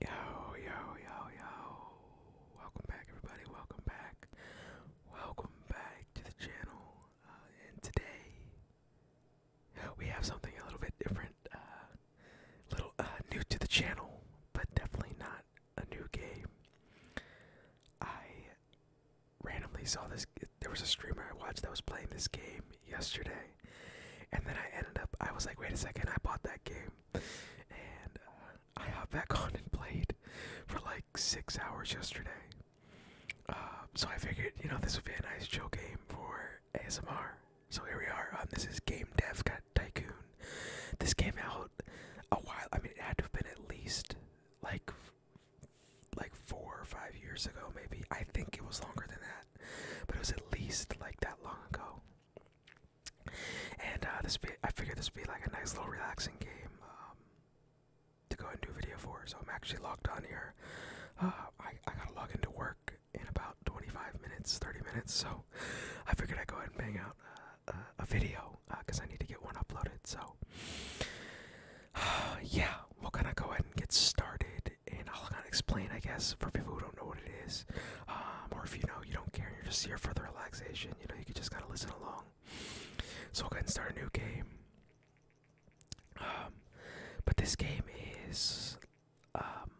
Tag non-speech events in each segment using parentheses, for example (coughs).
Yo, yo, yo, yo. Welcome back, everybody. Welcome back. Welcome back to the channel. Uh, and today, we have something a little bit different. Uh, little uh, new to the channel, but definitely not a new game. I randomly saw this. There was a streamer I watched that was playing this game, yesterday, and then I ended up. I was like, wait a second, I bought that game, and uh, I hopped back on and played for like six hours yesterday. Um, so I figured, you know, this would be a nice chill game for ASMR. So here we are. Um, this is Game Dev Got Tycoon. This came out a while. I mean, it had to have been at least like like four or five years ago, maybe. I think it was longer than that, but it was at least like that long ago. And uh, this I figured this would be like a nice little relaxing game um, to go and do video for. So I'm actually locked on here. Uh, I, I gotta log into work in about 25 minutes, 30 minutes. So I figured I'd go ahead and bang out uh, a, video because I need to get one uploaded. So (sighs) yeah, we're gonna go ahead and get started and I'll kind of explain, I guess, for people who don't know what it is, um, or if you know you don't care, and you're just here for the relaxation. You know, you can just kind of listen along. So we'll go ahead and start a new game. Um, but this game is, um,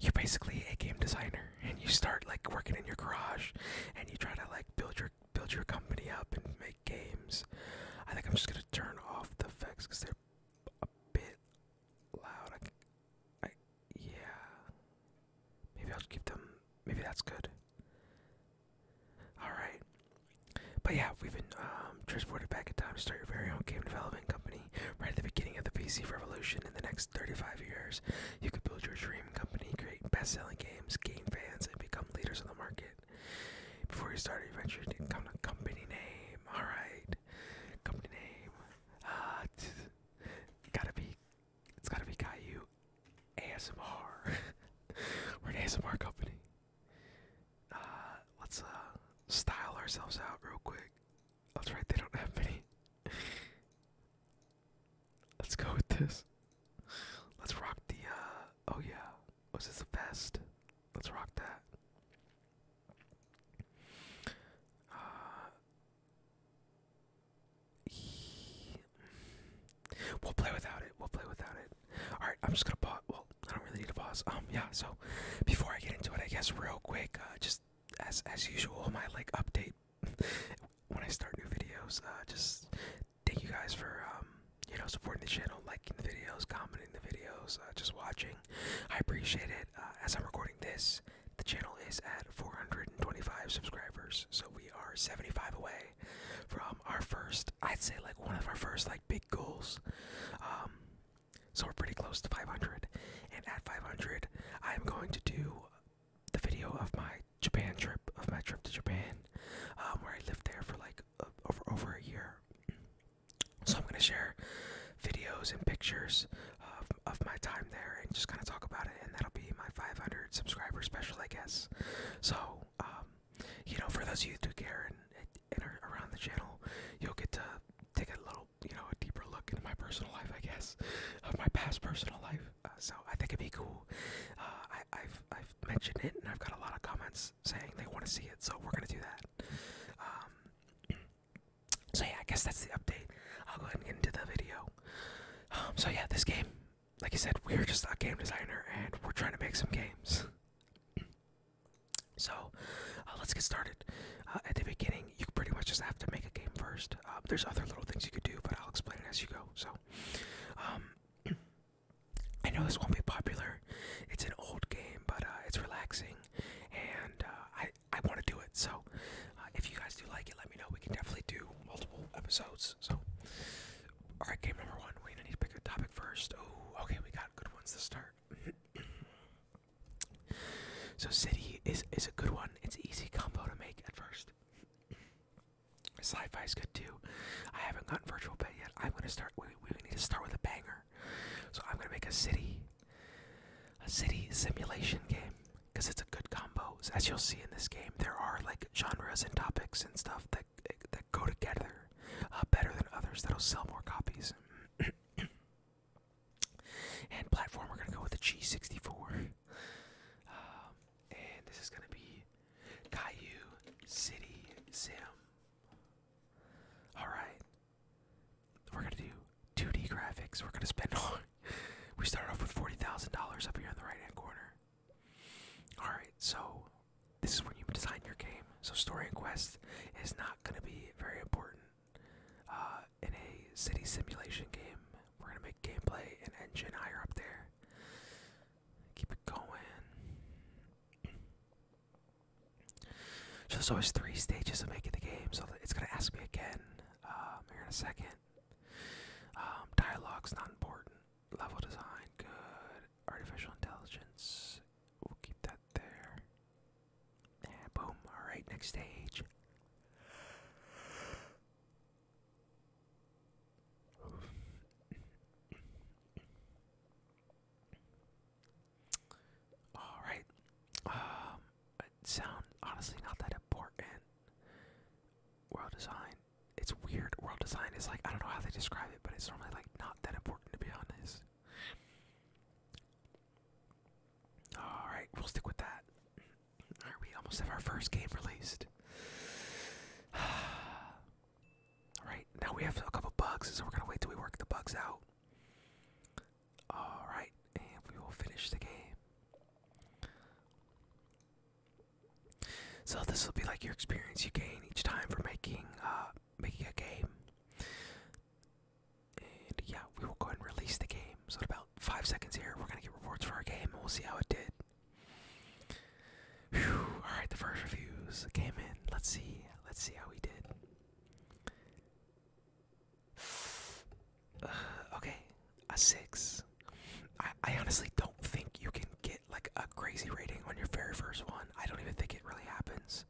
you're basically a game designer, and you start like working in your garage, and you try to like build your build your company up and make games. I think I'm just gonna turn off the effects because they're a bit loud. I, I, yeah. Maybe I'll give them. Maybe that's good. All right. But yeah, we've been um, transported back in time to start your very own game development company right at the beginning of the PC revolution. In the next 35 years, you could build your dream company, create best-selling games, game fans, and become leaders on the market. Before you start your venture, to come a company name. All right. Company name. Uh, gotta be. It's gotta be Caillou ASMR. (laughs) We're an ASMR company. Uh, let's uh style ourselves out real quick. That's right. They don't have many. (laughs) Let's go with this. Let's rock the. uh, Oh yeah. Was this a vest? Let's rock that. Uh, we'll play without it. We'll play without it. All right, I'm just gonna pause. Well, I don't really need to pause. Um, yeah. So before I get into it, I guess real quick, uh, just as as usual, my like update (laughs) when I start new videos. Uh, just thank you guys for um, you know supporting the channel, liking the videos, commenting the videos, uh, just watching. I appreciate it. Uh, as I'm recording this, the channel is at 425 subscribers, so we are 75 away from our first, I'd say like one of our first like big goals. Um, so we're pretty close to 500, and at 500, I'm going to do the video of my Japan trip, of my trip to Japan, um, where I lived there for like over over a year. So I'm going to share videos and pictures of, my time there and just kind of talk about it. And that'll be my 500 subscriber special, I guess. So, um, you know, for those of you who care and, are around the channel, you'll get to take a little, you know, a deeper look into my personal life, I guess, of my past personal life. Uh, so I think it'd be cool. Uh, I've I've mentioned it, and I've got a lot of comments saying they want to see it, so we're gonna do that. Um, (clears throat) so yeah, I guess that's the update. I'll go ahead and get into the video. Um, so yeah, this game, like I said, we're just a game designer and we're trying to make some games. So uh, let's get started. Uh, at the beginning, you pretty much just have to make a game first. Um, there's other little things you could do, but I'll explain it as you go. So, (clears throat) I know this won't be popular. It's an old game, but uh, it's relaxing and uh, I I want to do it. So uh, if you guys do like it, let me know. We can definitely do multiple episodes. So all right, game number one. Wait, I need to pick a topic first. Oh, okay, we got good ones to start. (clears throat) so city is is a good one. It's easy combo to make at first. Sci-fi is good too. I haven't gotten virtual bed yet. I'm gonna start. We, we need to start with a banger. So I'm gonna make a city, a city simulation game, because it's a good combo. As you'll see in this game, there are like genres and topics and stuff that that go together uh, better than others. That'll sell more copies. (coughs) and platform, we're gonna go with the G64. Um, and this is gonna be Caillou City Sim. Alright, we're gonna do 2D graphics. We're gonna spend on. (laughs) we started off with $40,000 up here in the right hand corner. Alright, so this is where you design your game. So, story and quest is not gonna be very important. Uh, in a city simulation game, we're gonna make gameplay and engine higher up there. Keep it going. So there's always three stages of making the game, so it's gonna ask me again um, here in a second. Um, dialogue's not important. Level design, good. Artificial intelligence, we'll keep that there. boom. All right, next stage. All right. Um, sound honestly not that important. World design. It's weird. World design is like I don't know how they describe it, but it's normally like not that important to be honest. All right, we'll stick with that. All right, we almost have our first game released. (sighs) Alright, now we have a couple bugs, so we're gonna wait till we work the bugs out. Alright, and we will finish the game. So this will be like your experience you gain each time for making uh, making a game. And yeah, we will go ahead and release the game. So about five seconds here, we're gonna get reports for our game and we'll see how it did. Alright, the first reviews came in. Let's see let's see how we did. (sighs) okay, a six. I, honestly don't think you can get like a crazy rating on your very first one. I don't even think it really happens.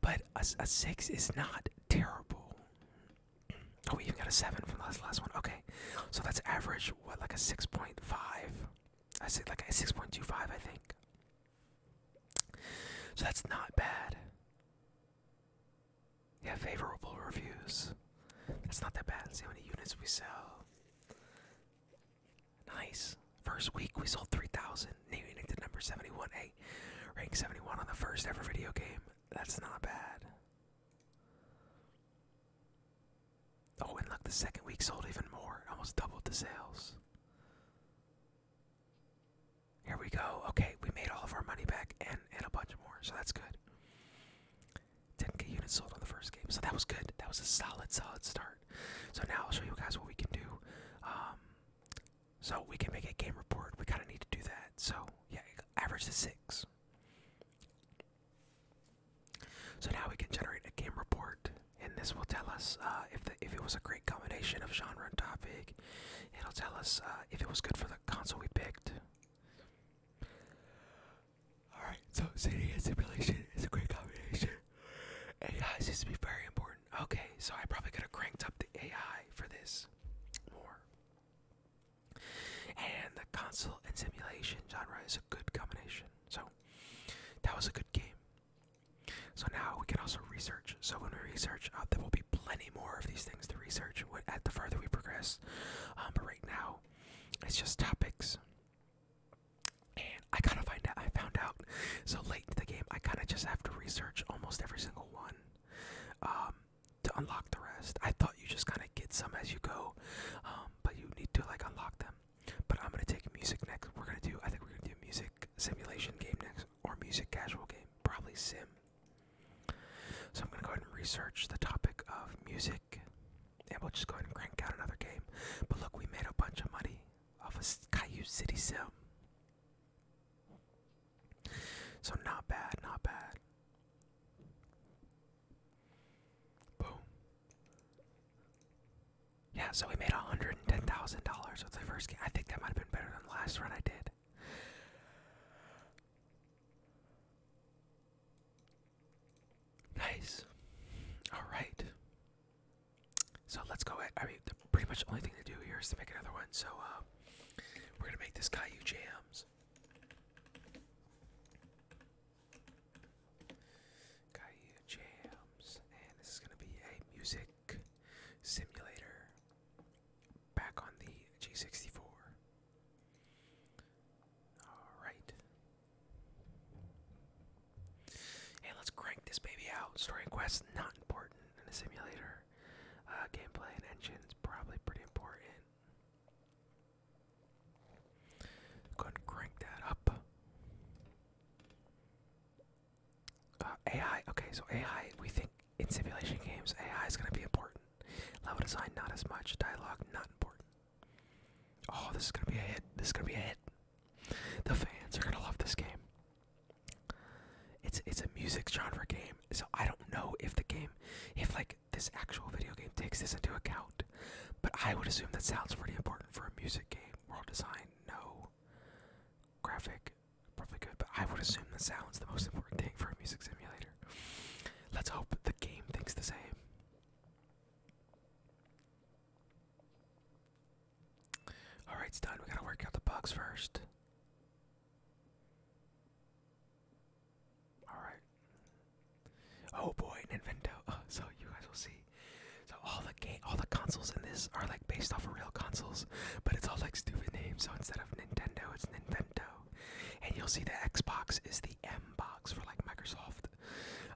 But a, a six is not terrible. (clears throat) Oh, we even got a seven from the last, last one. Okay, so that's average. What like a six point five? I said like a six point two five, I think. So that's not bad. Yeah, favorable reviews. That's not that bad. see how many units we sell. Nice. First week we sold 3,000, naming it to number 71. A, rank 71 on the first ever video game. That's not bad. Oh, and look, the second week sold even more. Almost doubled the sales. Here we go. Okay, we made all of our money back and, and a bunch more, so that's good. Didn't get units sold on the first game, so that was good. That was a solid, solid start. So now I'll show you guys what we can do. Um, so we can make a game report. We kind of need to do that. So yeah, average is six. So now we can generate a game report, and this will tell us uh, if if it was a great combination of genre and topic. It'll tell us uh, if it was good for the console we picked. Alright, so city and simulation is a great combination. AI seems to be very important. Okay, so I probably could have cranked up the AI for this more. And the console and simulation genre is a good combination. So that was a good game. So now we can also research. So when we research, uh, there will be plenty more of these things to research at the further we progress. Um, but right now, it's just topics. And I kind of find out, I found out so late in the game, I kind of just have to research almost every single one um, to unlock the rest. I thought you just kind of get some as you go, um, but you need to like unlock them. But I'm gonna take music next. We're gonna do. I think we're gonna do music simulation game next, or music casual game, probably sim. So I'm gonna go ahead and research the topic of music, and we'll just go ahead and crank out another game. But look, we made a bunch of money off a Caillou City sim. So not bad, not bad. Boom. Yeah, so we made $110,000 with the first game. I think that might have been better than the last run I did. Nice. All right. So let's go. At, I mean, pretty much only thing to do here is to make another one. So uh, we're gonna make this Caillou jams. Gaia Jams, and this is going to be a music simulator back on the G64. Alright. And let's crank this baby out. Story and quest, not important in a simulator. Uh, gameplay and engines, probably pretty important. Go ahead and crank that up. Uh, AI, okay, so AI, we think in simulation games, AI is going to be important. Level design, not as much. Dialogue, not important. Oh, this is going to be a hit. This is going to be a hit. The fans are going to love this game. It's it's a music genre game, so I don't know if the game, if like this actual video game takes this into account. But I would assume that sounds pretty important for a music game. World design, no. Graphic, probably good, but I would assume the sound's the most important thing for a music simulator. Let's hope the game thinks the same. Alright, it's done. We gotta work out the bugs first. Alright. Oh boy, Nintendo. (laughs) Oh, so you guys will see. So all the game, all the consoles in this are like based off of real consoles, but it's all like stupid names. So instead of Nintendo, it's Nintendo. And you'll see the Xbox is the M box for like Microsoft,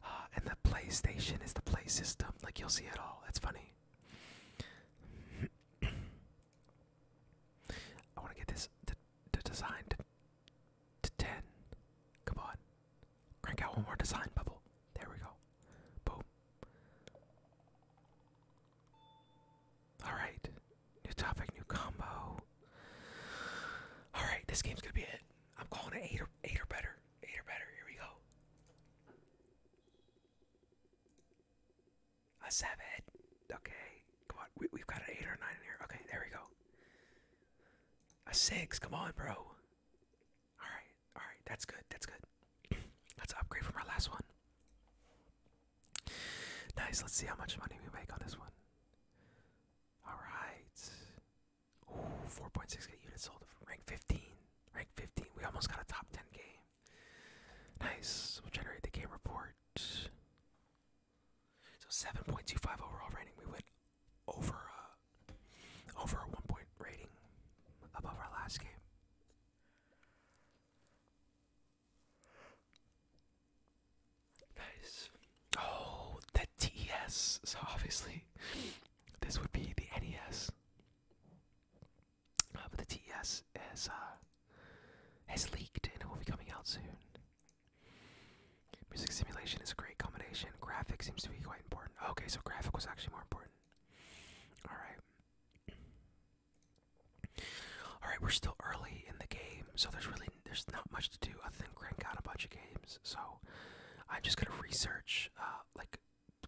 uh, and the PlayStation is the Play System. Like you'll see it all. That's funny. (coughs) I want to get this the design to 10. Come on. Crank out one more design bubble. There we go. Boom. Alright. New topic, new combo. Alright, this game's gonna be it. I'm calling it 8 or, eight or better. 8 or better. Here we go. A 7. Okay. Come on. We, we've got an 8 or 9 here. Okay, there we go. A 6. Come on, bro. All right, all right, that's good. That's good. (clears throat) Let's upgrade from our last one. Nice. Let's see how much money we make on this one. All right. Ooh, 4.6k units sold. Rank 15. Rank 15. We almost got a top 10 game. Nice. We'll generate the game report. So 7.25 overall rating. We went over a uh, over a one point rating above our last game. Nice. Oh, the TES. So obviously, this would be the NES. Uh, but the TES is has uh, leaked and it will be coming out soon. Music simulation is a great combination. Graphic seems to be quite important. Okay, so graphic was actually more important. Alright. Alright, we're still early in the game, so there's really there's not much to do I think crank out a bunch of games. So I'm just gonna research uh like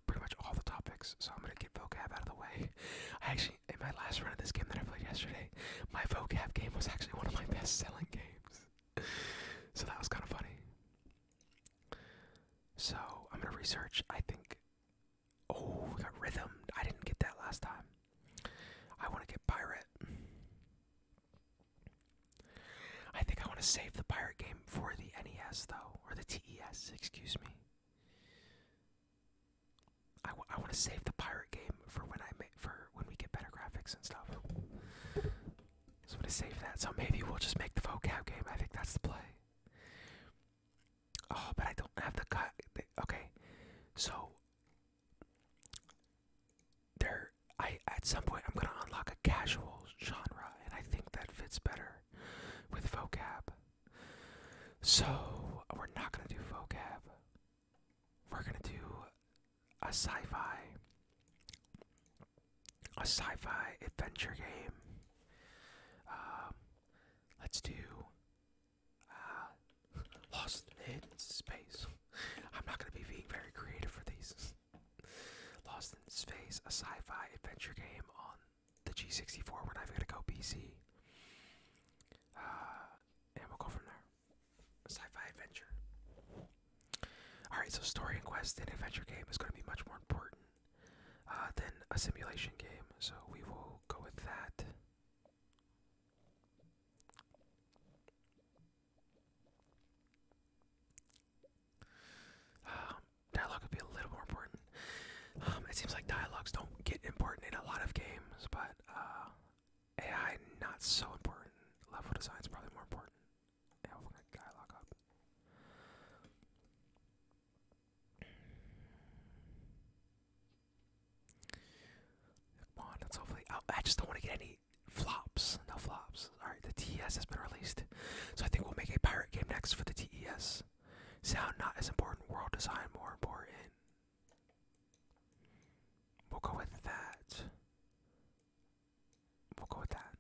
pretty much all the topics. So I'm gonna get vocab out of the way. I actually in my last run of this game that I played yesterday, my vocab game was actually one of my best selling games so that was kind of funny. So I'm gonna research. I think. Oh, we got rhythm. I didn't get that last time. I want to get pirate. I think I want to save the pirate game for the NES though, or the TES. Excuse me. I want to save the pirate game for when I make for when we get better graphics and stuff. So I'm gonna save that. So maybe we'll just make the vocab game. I think that's the play. Oh, but I don't have the cut. Okay, so there. I at some point I'm gonna unlock a casual genre, and I think that fits better with vocab. So we're not gonna do vocab we're gonna do a sci-fi a sci-fi adventure game. Um, let's do uh, (laughs) Lost in Space. I'm not gonna be being very creative for these. (laughs) Lost in Space, a sci-fi adventure game on the G64. We're not even to go PC. Uh, and we'll go from there sci-fi adventure. All right, so story and quest in adventure game is going to be much more important uh, than a simulation game, so we will go with that. Um, dialogue would be a little more important. Um, it seems like dialogues don't get important in a lot of games, but uh, AI not so important. Level design is probably more important. Yeah, we lock up. Come on, let's hopefully. Oh, I just don't want to get any flops. No flops. All right, the TES has been released, so I think we'll make a pirate game next for the TES. Sound not as important. World design more important. We'll go with that. We'll go with that.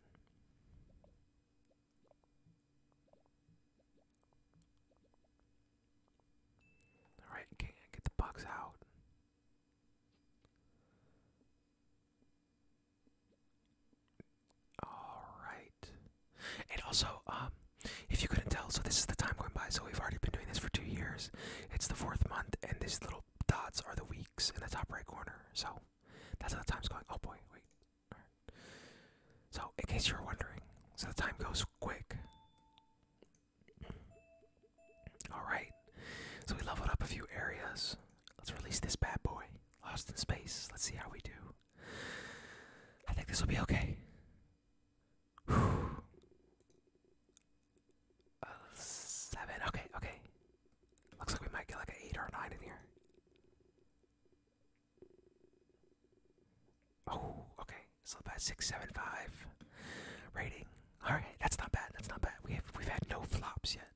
Alright, can get the bugs out. Alright. And also, um, if you couldn't tell, so this is the time going by, so we've already been doing this for two years. It's the fourth month, and this little dots are the weeks in the top right corner. So that's how the time's going. Oh boy, wait. Right. So in case you're wondering, so the time goes quick. Alright. So we leveled up a few areas. Let's release this bad boy. Lost in space. Let's see how we do. I think this will be okay a seven. Okay, okay. Looks like we might get like an eight or nine in here. Oh, okay. So about six, seven, five rating. All right, that's not bad. That's not bad. We have we've had no flops yet.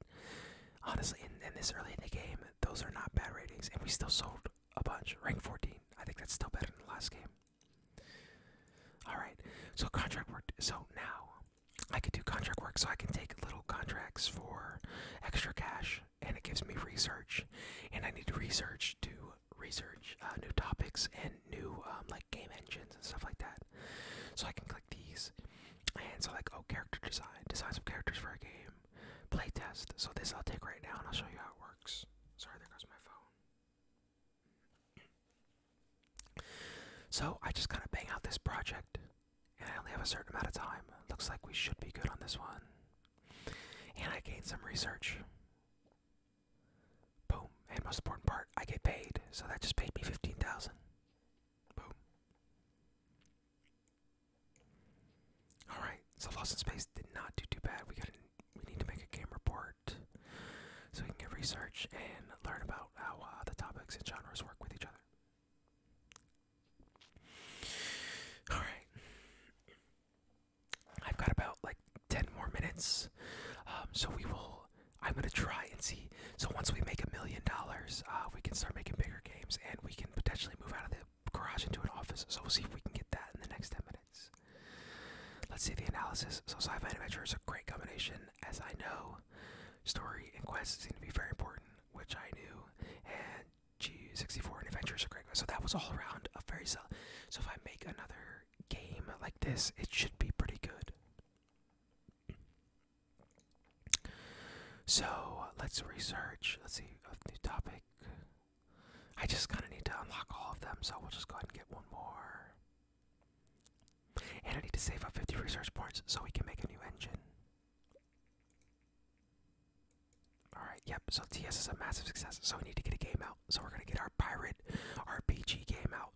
Honestly, in, in this early in the game, those are not bad ratings, and we still sold a bunch. Rank 14. I think that's still better than the last game. All right. So contract work. So now I can do contract work. So I can take little contracts for extra cash, and it gives me research. And I need to research to research uh, new topics and new um, like game engines and stuff like that. So I can click these, and so like oh character design, design some characters for a game, play test. So this I'll take right now, and I'll show you how it works. Sorry, there goes my phone. So I just kind of bang out this project, and I only have a certain amount of time. Looks like we should be good on this one. And I gained some research. Boom. And most important part, I get paid. So that just paid me 15000 Boom. Alright, so Lost in Space did not do too bad. We got we need to make a game report. So we can get research and learn about how uh, the topics and genres work with each other. Alright. I've got about like 10 more minutes. Um, so we will. I'm going to try and see. So once we make a million dollars, uh, we can start making bigger games and we can potentially move out of the garage into an office. So we'll see if we can get that in the next 10 minutes. Let's see the analysis. So, sci fi and adventure is a great combination, as I know. Story and quest seem to be very important, which I knew. And G64 and adventure is a great So, that was all around a very solid. So, if I make another game like this, it should be pretty good. So, let's research. Let's see, a new topic. I just kind of need to unlock all of them, so we'll just go ahead and get one more. And I need to save up 50 research points so we can make a new engine. Alright, yep, so TS is a massive success, so we need to get a game out. So we're gonna get our pirate RPG game out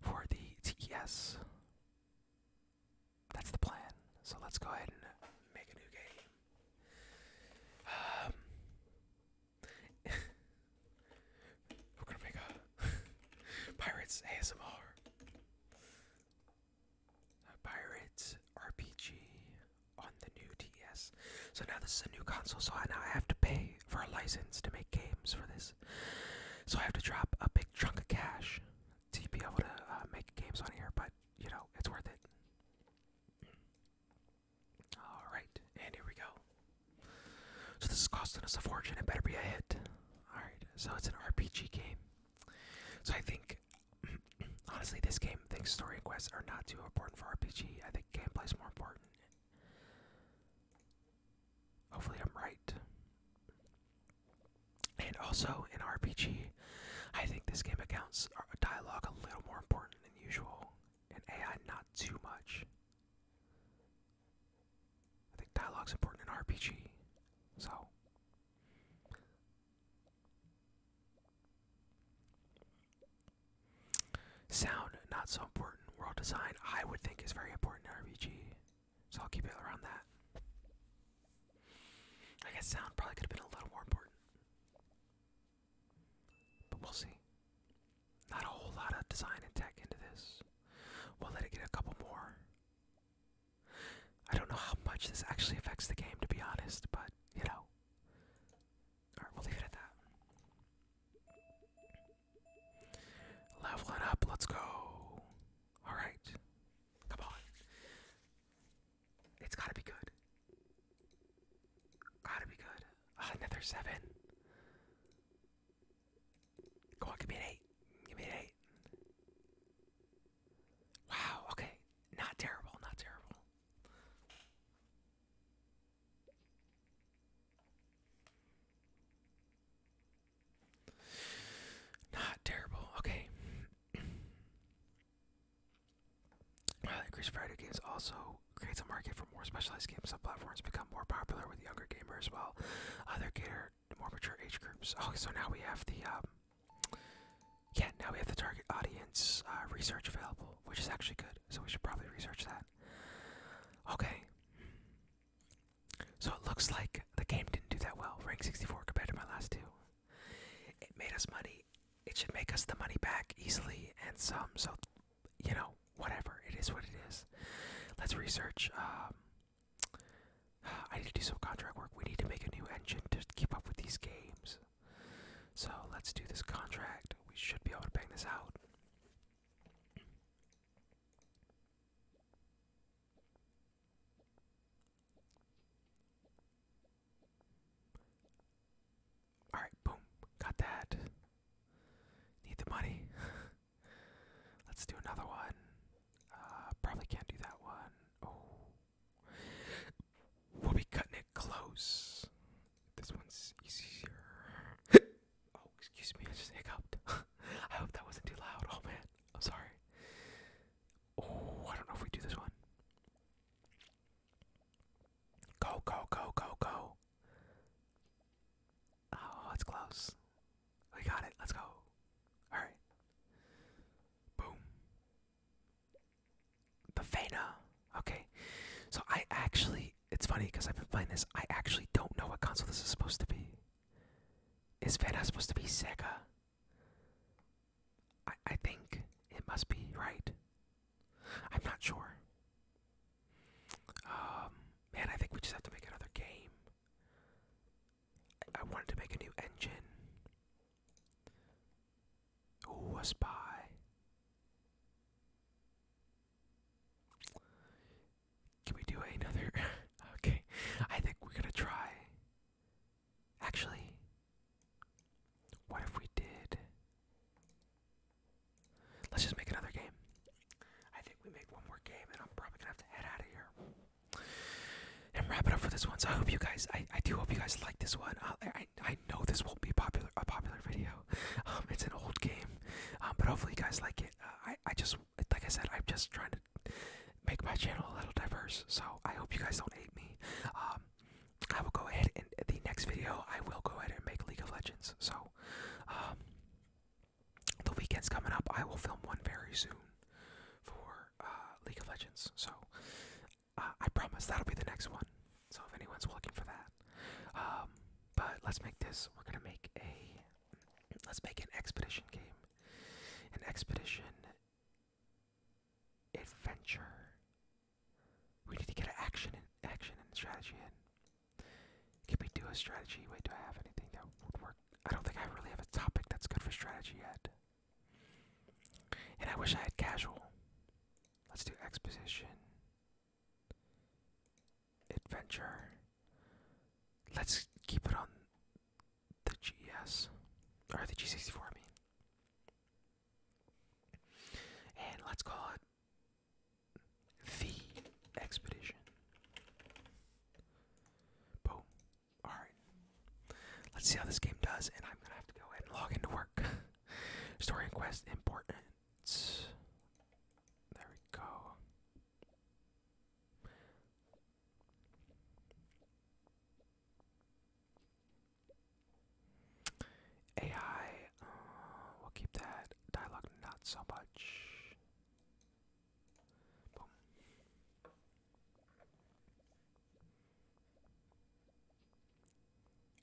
for the T S. That's the plan. So let's go ahead and make a new game. Um, we're gonna make a (laughs) Pirates ASMR. A Pirates RPG on the new DS. So now this is a new console, so I now I have to pay for a license to make games for this. So I have to drop a big chunk of cash to be able to uh, make games on here, but you know, it's worth it. Alright, and here we go. So this is costing us a fortune, it better be a hit. Alright, so it's an RPG game. So I think, (clears throat) honestly, this game thinks story and quests are not too important for RPG. I think gameplay is more important. Hopefully, I'm right. And also, in RPG, I think this game accounts a uh, dialogue a little more important than usual, and AI not too much. I think dialogue's important in RPG, so. Sound, not so important. World design, I would think, is very important in RPG, so I'll keep it around that. I guess sound probably could have been a little more important. But we'll see. Not a whole lot of design and tech into this. We'll let it get a couple more. I don't know how much this actually affects the game, to be honest, but you know. Alright, we'll leave it at that. Leveling up, let's go. Alright. Come on. It's gotta be good. Gotta be good. Ah, another seven. Go give me an eight. Give me an eight. Wow, okay. Not terrible, not terrible. Not terrible, okay. (clears throat) Uh, increased variety games also creates a market for more specialized games. Some platforms become more popular with younger gamers, as well, other cater more mature age groups. Oh, so now we have the um, yeah, now we have the target audience uh, research available, which is actually good. So we should probably research that. Okay. So it looks like the game didn't do that well, rank 64 compared to my last two. It made us money. It should make us the money back easily and some. So you know, whatever. It is what it is. Let's research. Um, (sighs) I need to do some contract work. We need to make a new engine to keep up with these games. So let's do this contract. We should be able to bang this out. Alright, boom. Got that. Need the money. (laughs) Let's do another one. Uh, probably can't do that one. Oh. We'll be cutting it close. This one's easier. (laughs) oh, excuse me, I just hiccuped. (laughs) I hope that wasn't too loud. Oh man, I'm sorry. Oh, I don't know if we do this one. Go, go, go, go, go. Oh, it's close. We got it. Let's go. Alright. Boom. The Vena. Okay. So I actually, it's funny because I've been playing this. I actually don't know what console this is supposed to be. Is Vena supposed to be Sega? I, I think it must be, right? I'm not sure. Um, man, I think we just have to make another game. I, wanted to make a new engine. Ooh, a spy. Can we do another? (laughs) okay, I think we're gonna try. Actually, what if we did Let's just make another game. I think we made one more game, and I'm probably gonna have to head out of here and wrap it up for this one. So I hope you guys, I, I do hope you guys like this one. Uh, I I know this won't be popular a popular video. (laughs) Um, it's an old game, um, but hopefully you guys like it. Uh, I I just like I said, I'm just trying to make my channel a little diverse. So I hope you guys don't hate me. Um, I will go ahead and the next video I will go ahead and make League of Legends. So, um, the weekend's coming up. I will film one very soon for uh, League of Legends. So, uh, I promise that'll be the next one. So if anyone's looking for that, um, but let's make this. We're gonna make a. Let's make an expedition game. An expedition adventure we need to get an action and action and strategy in. Can we do a strategy? Wait, do I have anything that would work? I don't think I really have a topic that's good for strategy yet. And I wish I had casual. Let's do exposition. Adventure. Let's keep it on the GS. Or the G64, for me. And let's call it the expedition. Boom. Alright. Let's see how this game does, and I'm gonna have to go ahead and log into work. (laughs) Story and quest importance. There we go. AI, uh, we'll keep that dialogue not so much. Boom.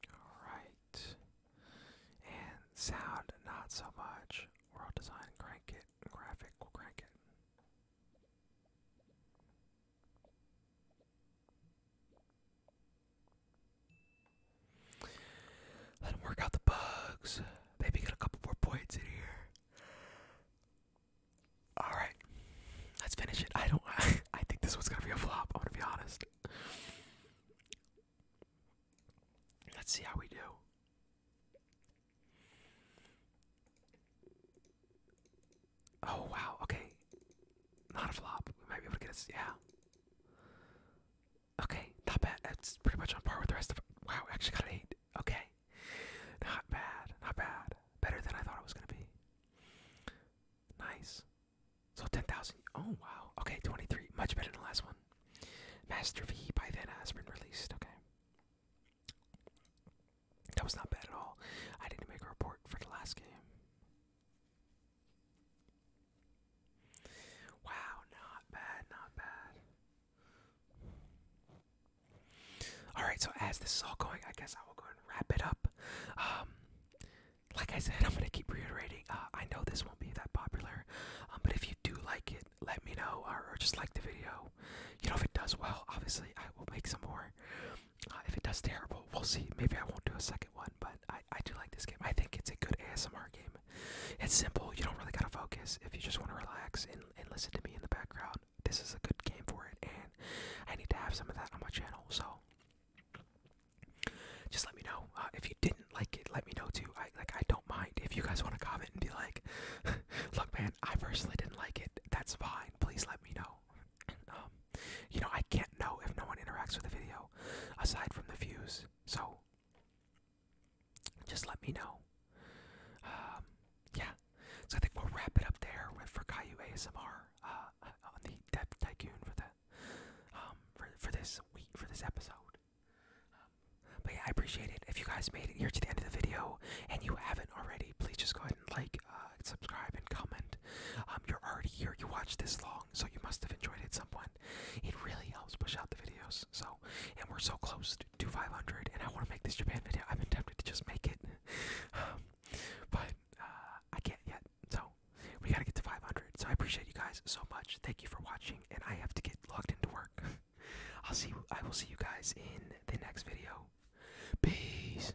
Alright. And sound, not so much. World design, crank it. Graphic, we'll crank it. Let him work out the bugs. Maybe get a couple more points in here. Alright. Let's finish it. I don't (laughs) I think this one's gonna be a flop, I'm gonna be honest. Let's see how we do. Oh wow, okay. Not a flop. We might be able to get a yeah. Okay, not bad. It's pretty much on par with the rest of Wow, we actually got an eight. Okay. Not bad, not bad. Better than I thought it was gonna be. Nice. So ten thousand. Oh wow. Okay, twenty-three. Much better than the last one. Master V by then has been released, okay. That was not bad at all. I didn't make a report for the last game. Wow, not bad, not bad. Alright, so as this is all going, I guess I will go and wrap it up. Um, like I said, (laughs) I'm going to keep reiterating. Uh, I know this won't be that popular, um, but if you do like it, let me know or just like the video. You know, if it does well, obviously I will make some more. Uh, if it does terrible, we'll see. Maybe I won't do a second one, but I, I do like this game. I think it's a good ASMR game. It's simple. You don't really gotta focus. If you just want to relax and, and listen to me in the background, this is a good game for it. And I need to have some of that on my channel. So just let me know uh, if you didn't like it. Let me know too. I like. I don't mind if you guys want to comment and be like, (laughs) "Look, man, I personally didn't like it. That's fine. Please let me know." Um, you know, I can't know if no one interacts with the video aside from the views. So just let me know. Um, yeah. So I think we'll wrap it up there for Caillou ASMR uh, on the Dev Tycoon for the um, for for this week for this episode. but yeah, I appreciate it. If you guys made it here to the end of the video and you haven't already, please just go ahead and like uh, subscribe, and comment. Um, you're already here. You watched this long, so you must have enjoyed it somewhat. It really helps push out the videos. So, and we're so close to 500, and I want to make this Japan video. I've been tempted to just make it, (sighs) um, but uh, I can't yet. So, we gotta get to 500. So I appreciate you guys so much. Thank you for watching, and I have to get logged into work. (laughs) I'll see. You, I will see you guys in the next video. Peace.